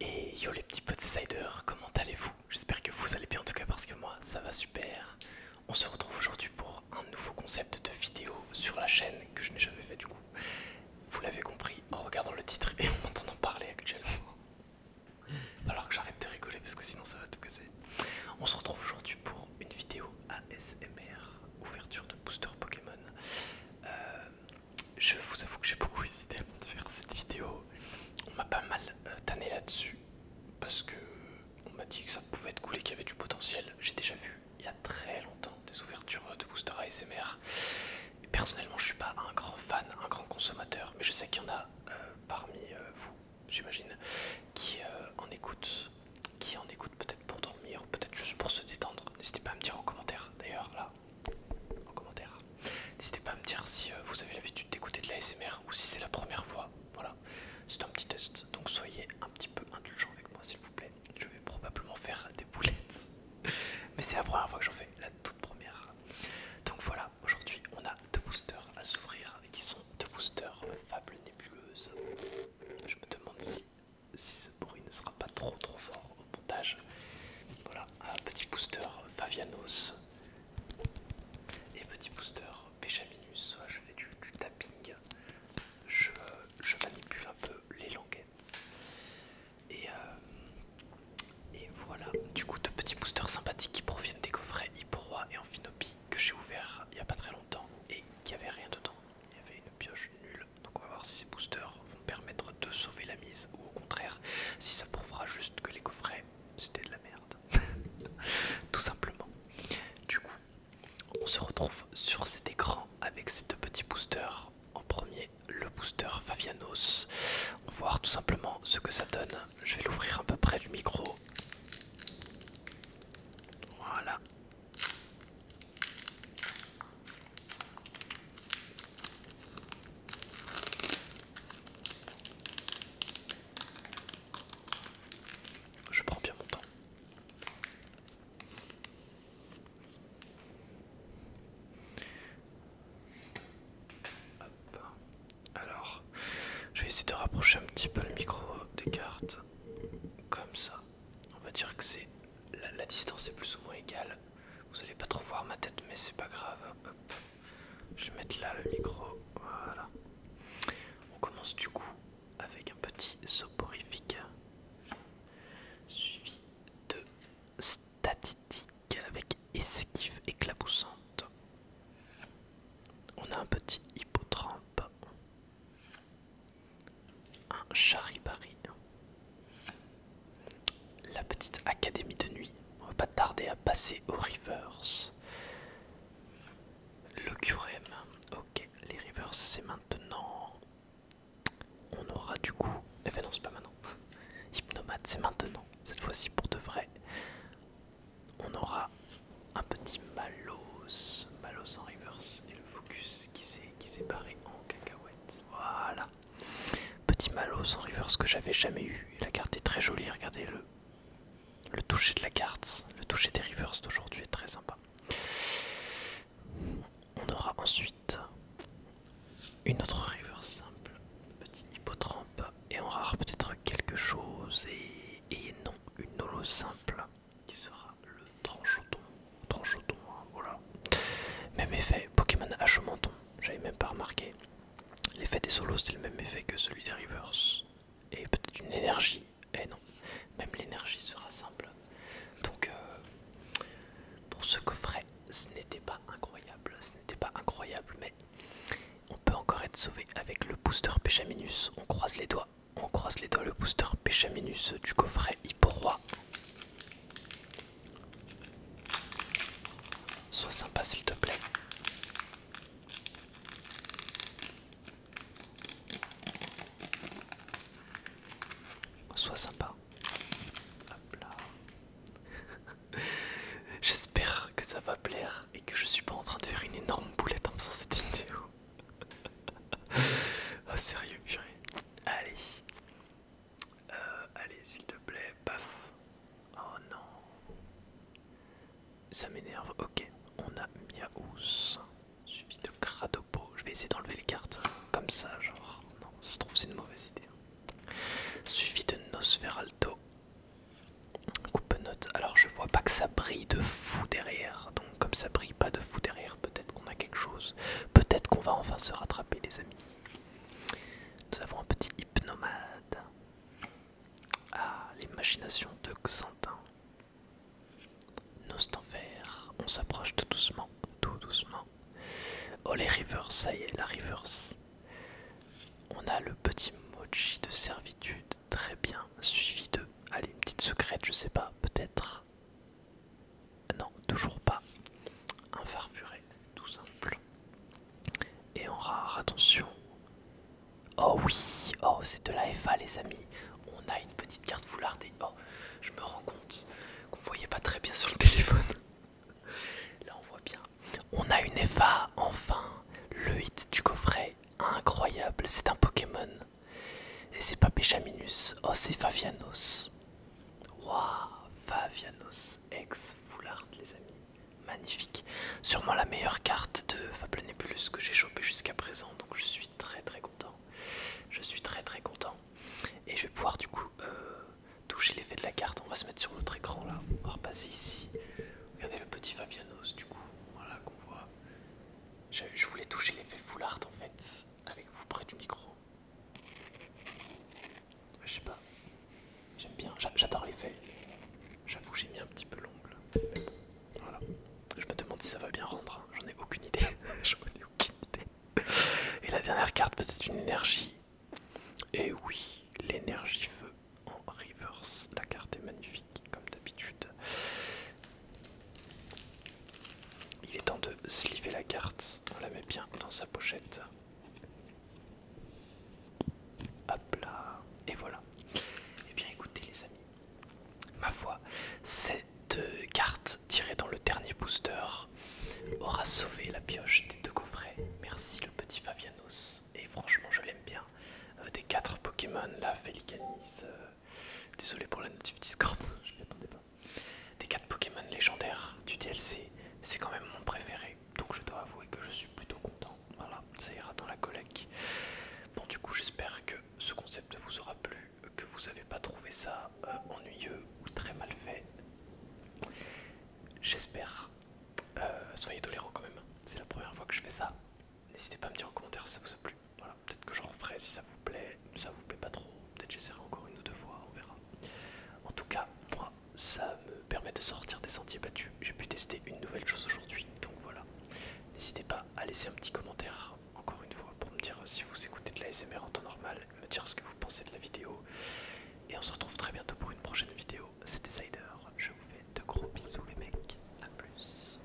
Et yo les petits potsiders, comment allez-vous J'espère que vous allez bien en tout cas parce que moi ça va super. On se retrouve aujourd'hui pour un nouveau concept de vidéo sur la chaîne que je n'ai jamais fait du coup. Vous l'avez compris en regardant le titre et en m'entendant parler actuellement. Alors que j'arrête de rigoler parce que sinon ça va tout casser. On se retrouve aujourd'hui pour une vidéo ASMR, ouverture de booster Pokémon. Euh, je vous avoue que j'ai beaucoup hésité avant de faire cette vidéo. On m'a pas mal euh, tanné là-dessus parce que on m'a dit que ça pouvait être cool et qu'il y avait du potentiel. J'ai déjà vu il y a très longtemps des ouvertures de booster ASMR. personnellement, je suis pas un grand fan, un grand consommateur, mais je sais qu'il y en a euh, parmi euh, vous, j'imagine, qui en écoutent, qui en écoutent peut-être pour dormir, peut-être juste pour se détendre. N'hésitez pas à me dire en commentaire. D'ailleurs, là, en commentaire. N'hésitez pas à me dire si euh, vous avez l'habitude d'écouter de la ou si c'est la première fois. Voilà, c'est un petit test, donc soyez un petit peu indulgents avec moi s'il vous plaît. Je vais probablement faire des boulettes, mais c'est la première fois que j'en fais, la toute première. Donc voilà, aujourd'hui on a deux boosters à s'ouvrir qui sont deux boosters Fable Nébuleuse. Je me demande si, si pour bruit ne sera pas trop trop fort au montage. Voilà, un petit booster Favianos et petit booster Péchaminus. Je fais du, tapping, je, manipule un peu les languettes. Et, euh, et voilà, du coup, de petits boosters sympathiques qui proviennent des coffrets Hipporois et Enfinopi que j'ai ouvert il n'y a pas très longtemps et qui n'avait rien dedans. Il y avait une pioche nulle donc on va voir si ces boosters vont permettre de sauver la mise ou au contraire si ça prouvera juste que les coffrets c'était de la merde. Tout simplement. Du coup, on se retrouve sur cet écran avec ces deux petits boosters. En premier, le booster Favianos. On va voir tout simplement ce que ça donne. Je vais l'ouvrir à peu près du micro. Voilà. Je prends bien mon temps. Alors, je vais essayer de rapprocher un petit peu le micro des cartes, comme ça. On va dire que c'est la distance est plus ou moins égale vous allez pas trop voir ma tête, mais c'est pas grave. Je vais mettre là le micro. Voilà. On commence du coup avec un petit soporifique suivi de statistiques avec esquive éclaboussante. On a un petit hippotrampe un charibari. La petite académie de nuit. On va pas tarder à passer au reverse. Le qrm Ok, les rivers c'est maintenant. On aura du coup. Eh ben non, c'est pas maintenant. Hypnomade, c'est maintenant. Cette fois-ci pour de vrai. On aura un petit Malos. Malos en reverse. Et le focus qui s'est barré en cacahuète. Voilà. Petit malo sans reverse que j'avais jamais eu. la carte est très jolie, regardez-le. Le toucher de la carte, le toucher des rivers d'aujourd'hui est très sympa. On aura ensuite une autre river simple, petit hippotrampe, et on rare peut-être quelque chose, et, et non, une holo simple qui sera le Tranchoton, Tranchoton, hein, voilà. Même effet, Pokémon menton, j'avais même pas remarqué. L'effet des solos, c'est le même effet que celui des Rivers. Et peut-être une énergie. Eh non, même l'énergie sera simple. Donc, euh, pour ce coffret, ce n'était pas incroyable. Ce n'était pas incroyable, mais on peut encore être sauvé avec le booster Péchaminus. On croise les doigts. On croise les doigts, le booster Péchaminus du coffret pourquoi Sois sympa s'il te plaît. Sois sympa. Hop là. J'espère que ça va plaire et que je suis pas en train de faire une énorme boulette en faisant cette vidéo. ah sérieux, purée. Allez. Euh, allez, s'il te plaît. Paf. Oh non. Ça m'énerve. Ok, on a Miaous. Suivi de Cradopo. Je vais essayer d'enlever les cartes. Comme ça, genre. Non, ça se trouve, c'est une mauvaise idée. Suivi de Nosferalto. Coupe note. Alors, je vois pas que ça brille de fou derrière. Hein, comme ça brille pas de fou derrière, peut-être qu'on a quelque chose, peut-être qu'on va enfin se rattraper les amis. Nous avons un petit hypnomade. Ah, les de Xantin. Nostanfer, on s'approche tout doucement, tout doucement. Oh les rivers, ça y est, la rivers. On a le petit mochi de servitude, très bien, suivi de, allez, une petite secrète, je sais pas, peut-être. Euh, non, toujours pas. Un farfuret, tout simple. Et en rare, attention. Oh oui, oh c'est de la FA les amis. On a une petite carte foulardée. Oh, je me rends compte qu'on ne voyait pas très bien sur le téléphone. Là on voit bien. On a une FA enfin. Le hit du coffret, incroyable. C'est un Pokémon et c'est pas oh c'est Favianos. Waouh, Favianos, ex-foulard les amis. Magnifique. Sûrement la meilleure carte de Fable Nebulus que j'ai chopé jusqu'à présent. Donc je suis très très content. Je suis très très content. Et je vais pouvoir du coup euh, toucher l'effet de la carte. On va se mettre sur notre écran là. On va repasser ici. Regardez le petit Favianos du coup. Voilà qu'on voit. Je voulais toucher l'effet foulard en fait avec vous près du micro. Je sais pas. J'aime bien, j'adore l'effet. J'avoue, j'ai mis un petit peu l'ongle. voilà. Je me demande si ça va bien rendre. Hein. J'en ai aucune idée. J'en ai aucune idée. Et la dernière carte, peut-être une énergie. Et eh oui, l'énergie feu en reverse. La carte est magnifique, comme d'habitude. Il est temps de sliver la carte. On la met bien dans sa pochette. Hop là. Et voilà. Eh bien écoutez les amis. Ma foi, cette carte tirée dans le dernier booster aura sauvé la pioche des deux coffrets. Merci le petit Fabianos. Et franchement je l'aime bien. Euh, des quatre Pokémon, la Felicanis, euh, euh, désolé pour la notif Discord, je m'y attendais pas. Des 4 Pokémon légendaires du DLC, c'est quand même mon préféré, donc je dois avouer que je suis plutôt content. Voilà, ça ira dans la collecte. Bon, du coup, j'espère que ce concept vous aura plu, que vous n'avez pas trouvé ça euh, ennuyeux ou très mal fait. J'espère. Euh, soyez tolérants quand même, c'est la première fois que je fais ça. N'hésitez pas à me dire en commentaire si ça vous a plu voilà, peut-être que j'en referai si ça vous plaît, ça vous plaît pas trop, peut-être j'essaierai encore une ou deux fois, on verra. En tout cas, moi, ça me permet de sortir des sentiers battus, j'ai pu tester une nouvelle chose aujourd'hui, donc voilà. N'hésitez pas à laisser un petit commentaire, encore une fois, pour me dire euh, si vous écoutez de la SMR en temps normal, me dire ce que vous pensez de la vidéo. Et on se retrouve très bientôt pour une prochaine vidéo. C'était Sider, je vous fais de gros bisous les mecs, à plus.